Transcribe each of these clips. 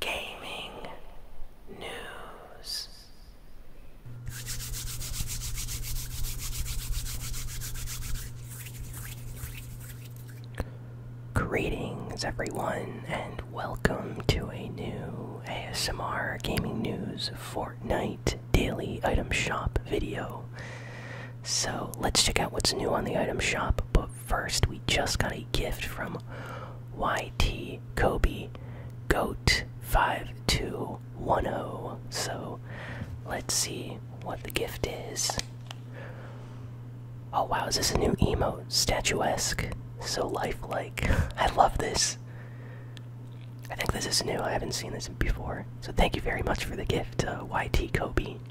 gaming news. Greetings, everyone, and welcome to a new ASMR Gaming News Fortnite Daily Item Shop video. So, let's check out what's new on the item shop, but first, we just got a gift from YT Kobe Goat 5210. So let's see what the gift is. Oh wow, is this a new emote? Statuesque. So lifelike. I love this. I think this is new. I haven't seen this before. So thank you very much for the gift, uh, YT Kobe.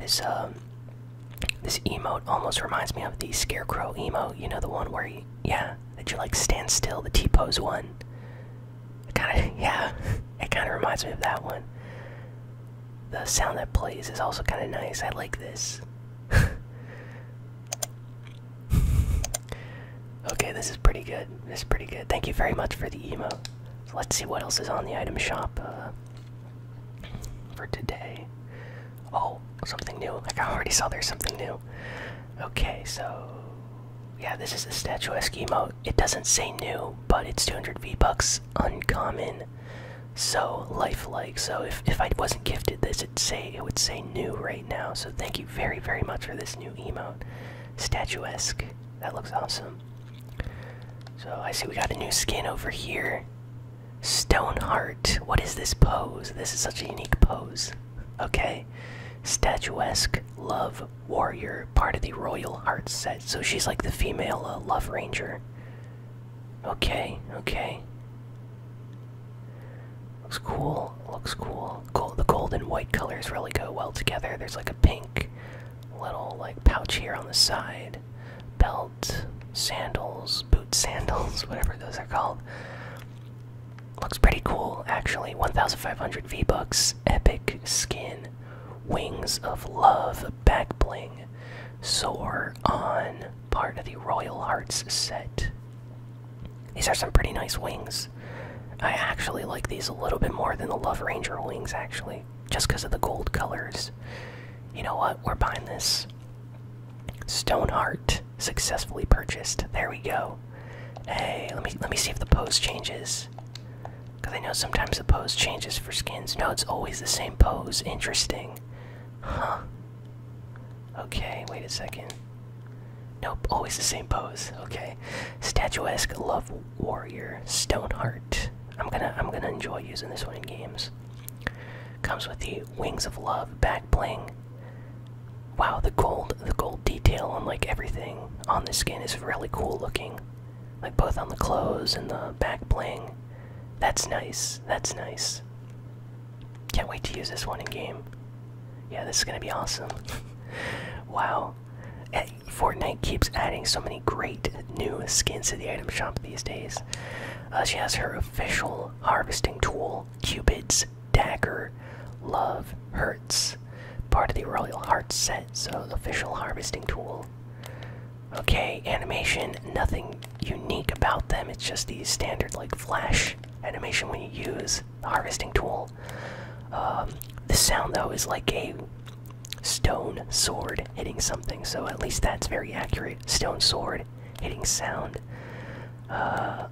This um, this emote almost reminds me of the scarecrow emote. You know the one where you, yeah, that you like stand still, the T pose one. Kind of yeah, it kind of reminds me of that one. The sound that plays is also kind of nice. I like this. okay, this is pretty good. This is pretty good. Thank you very much for the emote. let's see what else is on the item shop. Uh, for today. Oh, something new. Like I already saw there's something new. Okay, so yeah, this is the statuesque emote. It doesn't say new, but it's 200 V-Bucks uncommon. So lifelike. So if if I wasn't gifted this it'd say it would say new right now. So thank you very, very much for this new emote. Statuesque. That looks awesome. So I see we got a new skin over here. Stoneheart. What is this pose? This is such a unique pose. Okay. Statuesque Love Warrior, part of the Royal Heart set. So she's like the female uh, Love Ranger. Okay, okay. Looks cool, looks cool. the gold and white colors really go well together. There's like a pink little like pouch here on the side belt, sandals, boot sandals, whatever those are called. Looks pretty cool, actually. 1,500 V-Bucks, epic skin, wings of love, back bling, soar on, part of the Royal Hearts set. These are some pretty nice wings. I actually like these a little bit more than the Love Ranger wings, actually, just because of the gold colors. You know what? We're buying this. Stoneheart successfully purchased. There we go. Hey, let me let me see if the pose changes. Cause I know sometimes the pose changes for skins. No, it's always the same pose. Interesting. Huh. Okay, wait a second. Nope, always the same pose. Okay. Statuesque Love Warrior Stoneheart. I'm gonna I'm gonna enjoy using this one in games. Comes with the Wings of Love back bling. Wow, the gold, the gold detail on like everything on the skin is really cool looking. Like both on the clothes and the back bling. That's nice. That's nice. Can't wait to use this one in game. Yeah, this is gonna be awesome. wow. Eh, Fortnite keeps adding so many great new skins to the item shop these days. Uh, she has her official harvesting tool, Cupid's Dagger. Love Hurts. Part of the Royal hearts set, so official harvesting tool. Okay, animation, nothing unique about them. It's just the standard, like, flash animation when you use the harvesting tool. Um, the sound, though, is like a stone sword hitting something, so at least that's very accurate. Stone sword hitting sound. Uh,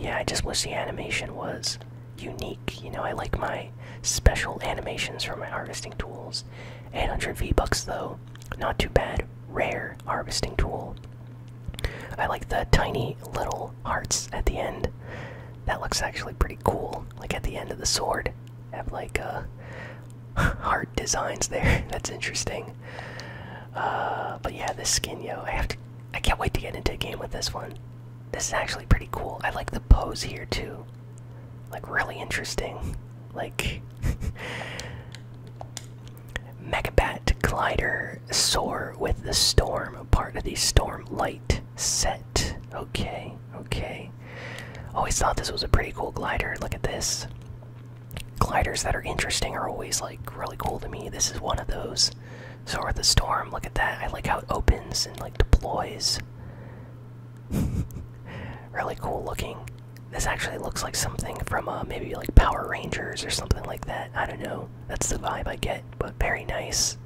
yeah, I just wish the animation was unique. You know, I like my special animations for my harvesting tools. 800 V-Bucks though, not too bad. Rare harvesting tool. I like the tiny little hearts at the end. That looks actually pretty cool. Like at the end of the sword, have like a heart designs there. That's interesting. Uh, but yeah, this skin, yo, I have to. I can't wait to get into a game with this one. This is actually pretty cool. I like the pose here too. Like really interesting. Like Megabat glider soar with the storm. Part of the storm light set. Okay, okay. Always thought this was a pretty cool glider. Look at this gliders that are interesting are always like really cool to me. This is one of those. So are the storm. Look at that. I like how it opens and like deploys. really cool looking. This actually looks like something from uh, maybe like Power Rangers or something like that. I don't know. That's the vibe I get, but very nice.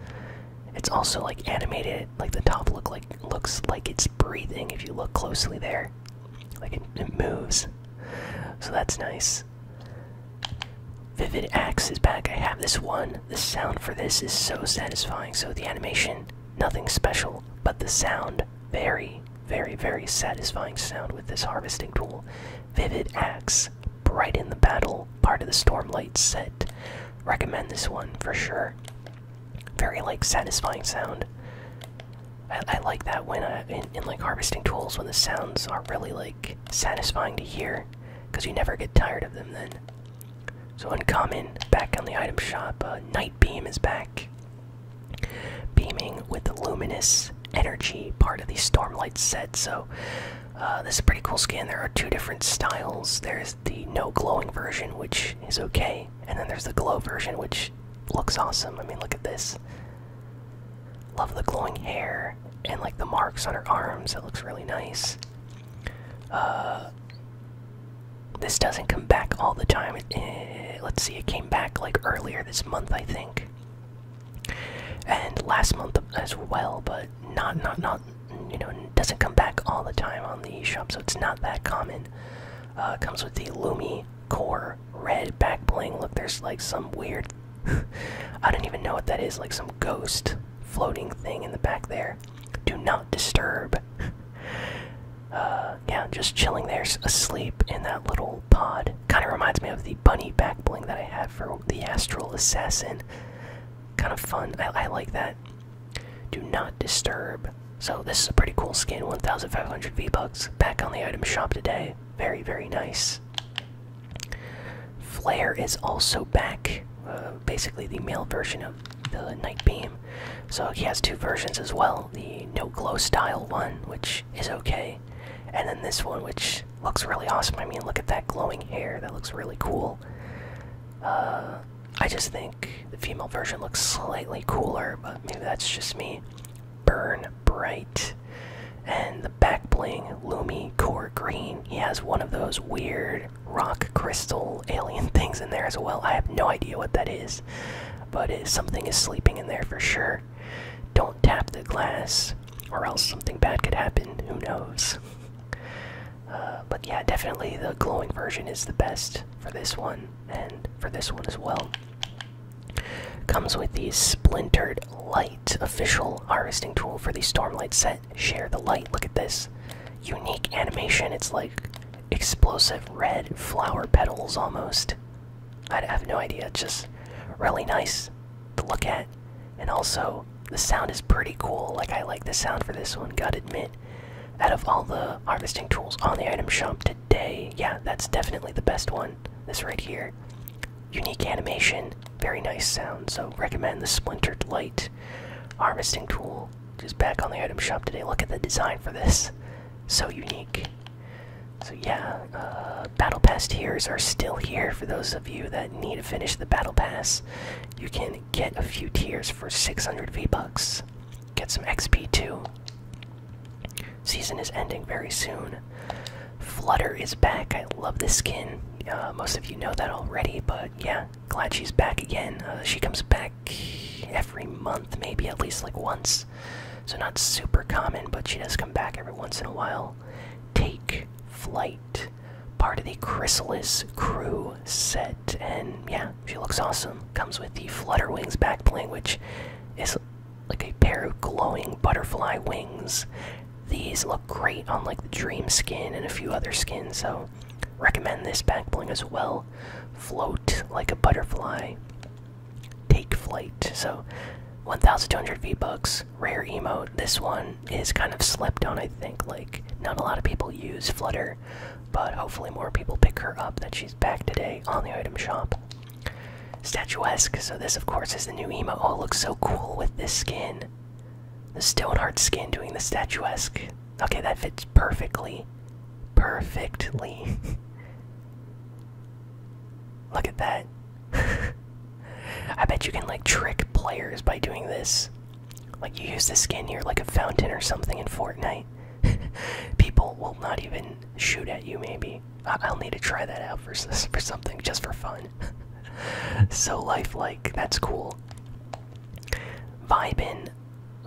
It's also like animated. Like the top look like looks like it's breathing if you look closely there. Like it, it moves. So that's nice. Vivid Axe is back. I have this one. The sound for this is so satisfying. So the animation, nothing special, but the sound, very, very, very satisfying sound with this harvesting tool. Vivid Axe, bright in the battle, part of the Stormlight set. Recommend this one for sure very like satisfying sound. I, like that when in, like harvesting tools when the sounds are really like satisfying to hear, because you never get tired of them then. So uncommon back on the item shop, uh, night beam is back, beaming with the luminous energy part of the stormlight set. So uh, this is pretty cool skin. There are two different styles. There's the no glowing version, which is okay, and then there's the glow version, which looks awesome. I mean, look at this. Love the glowing hair and like the marks on her arms. It looks really nice. Uh, this doesn't come back all the time. Eh, let's see, it came back like earlier this month, I think, and last month as well. But not, not, not. You know, doesn't come back all the time on the eShop, so it's not that common. Uh, comes with the Lumi core red backbling. Look, there's like some weird. I don't even know what that is. Like some ghost floating thing in the back there. Do not disturb. Uh, yeah, just chilling there, asleep in that little pod. Kind of reminds me of the bunny backbling that I have for the Astral Assassin. Kind of fun. I like that. Do not disturb. So this is a pretty cool skin, 1,500 V-Bucks. Back on the item shop today. Very, very nice. Flare is also back, uh, basically the male version of the Night Beam. So he has two versions as well, the no glow style one, which is okay, and then this one, which looks really awesome. I mean, look at that glowing hair, that looks really cool. Uh, I just think the female version looks slightly cooler, but maybe that's just me. Burn Bright, and the back bling Lumi Core Green. He has one of those weird rock crystal alien things in there as well. I have no idea what that is, but something is sleeping in there for sure. Don't tap the glass, or else something bad could happen. Who knows? Uh, but yeah, definitely the glowing version is the best for this one and for this one as well. Comes with the splintered light official harvesting tool for the Stormlight set. Share the light. Look at this unique animation. It's like explosive red flower petals almost. I have no idea. just really nice to look at, and also the sound is pretty cool. Like I like the sound for this one. Gotta admit, out of all the harvesting tools on the item shop today. Yeah, that's definitely the best one. This right here. Unique animation, very nice sound. So, recommend the Splintered Light harvesting tool. Just back on the item shop today. Look at the design for this. So unique. So, yeah, uh, Battle Pass tiers are still here for those of you that need to finish the Battle Pass. You can get a few tiers for 600 V bucks, get some XP too. Season is ending very soon. Flutter is back. I love this skin. Uh, most of you know that already, but yeah, glad she's back again. Uh, she comes back every month, maybe at least like once. So, not super common, but she does come back every once in a while. Take flight, part of the Chrysalis crew set, and yeah, she looks awesome. Comes with the Flutter Wings backbling, which is like a pair of glowing butterfly wings. These look great on like the Dream skin and a few other skins, so recommend this backbling as well. Float like a butterfly. Take flight. So 1,200 V-Bucks, rare emote. This one is kind of slept on, I think. Like, not a lot of people use Flutter, but hopefully more people pick her up that she's back today on the item shop. Statuesque, so this of course is the new emo. Oh, looks so cool with this skin. The Stoneheart skin doing the statuesque. Okay, that fits perfectly. Perfectly. Look at that. I bet you can like trick players by doing this. Like you use the skin, here, like a fountain or something in Fortnite. people will not even shoot at you maybe I will need to try that out for, for something just for fun so lifelike that's cool vibin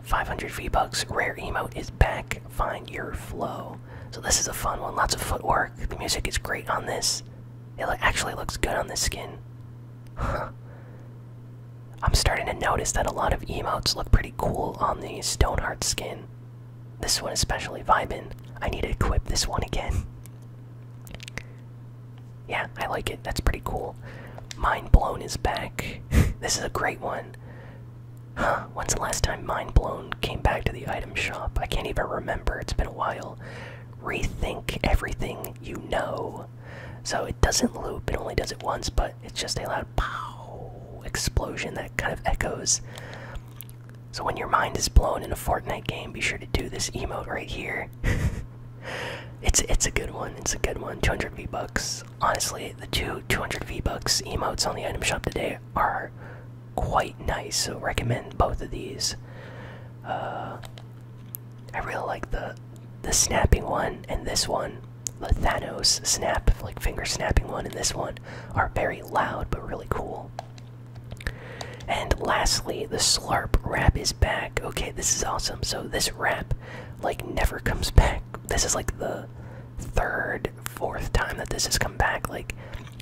500 v bucks rare emote is back find your flow so this is a fun one lots of footwork the music is great on this it actually looks good on this skin i'm starting to notice that a lot of emotes look pretty cool on the stoneheart skin this one is especially vibin. I need to equip this one again. Yeah, I like it. That's pretty cool. Mind Blown is back. this is a great one. Huh, when's the last time Mind Blown came back to the item shop? I can't even remember. It's been a while. Rethink everything you know. So it doesn't loop, it only does it once, but it's just a loud pow explosion that kind of echoes. So when your mind is blown in a Fortnite game, be sure to do this emote right here. it's it's a good one. It's a good one. 200 V bucks. Honestly, the two 200 V bucks emotes on the item shop today are quite nice. So recommend both of these. Uh, I really like the the snapping one and this one the Thanos snap, like finger snapping one, and this one are very loud but really cool. And lastly, the Slarp wrap is back. Okay, this is awesome. So this wrap, like, never comes back. This is like the third, fourth time that this has come back. Like,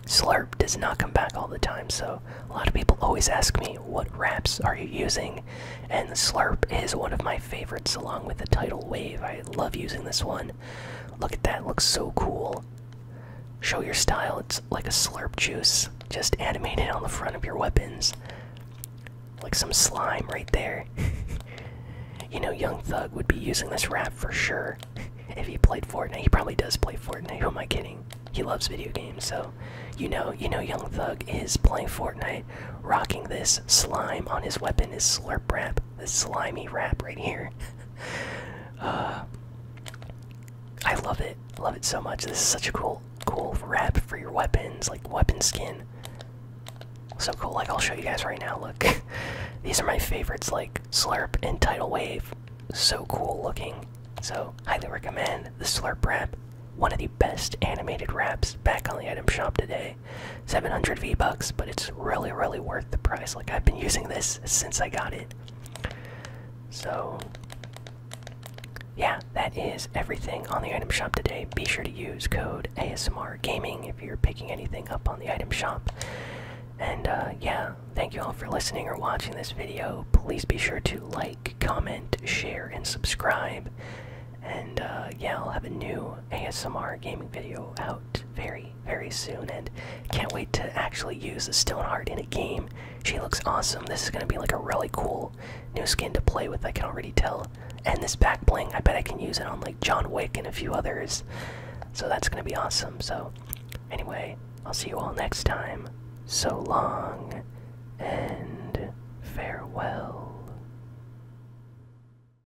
Slurp does not come back all the time. So a lot of people always ask me, what wraps are you using? And the Slurp is one of my favorites, along with the Tidal Wave. I love using this one. Look at that, looks so cool. Show your style, it's like a slurp juice, just animated on the front of your weapons. Like some slime right there. you know, Young Thug would be using this rap for sure if he played Fortnite. He probably does play Fortnite, who am I kidding? He loves video games, so you know, you know, Young Thug is playing Fortnite, rocking this slime on his weapon, his slurp rap this slimy wrap right here. Uh, I love it, love it so much. This is such a cool, cool wrap for your weapons, like weapon skin. So cool. Like I'll show you guys right now. Look, these are my favorites, like Slurp and Title Wave. So cool looking. So highly recommend the Slurp wrap. One of the best animated wraps back on the item shop today. 700 V bucks, but it's really, really worth the price. Like, I've been using this since I got it. So, yeah, that is everything on the item shop today. Be sure to use code ASMR Gaming if you're picking anything up on the item shop. And uh, yeah, thank you all for listening or watching this video. Please be sure to like, comment, share, and subscribe. And uh, yeah, I'll have a new ASMR gaming video out very, very soon, and can't wait to actually use the Stoneheart in a game. She looks awesome. This is gonna be like a really cool new skin to play with. I can already tell. And this back bling, I bet I can use it on like John Wick and a few others. So that's gonna be awesome. So, anyway, I'll see you all next time. So long and farewell.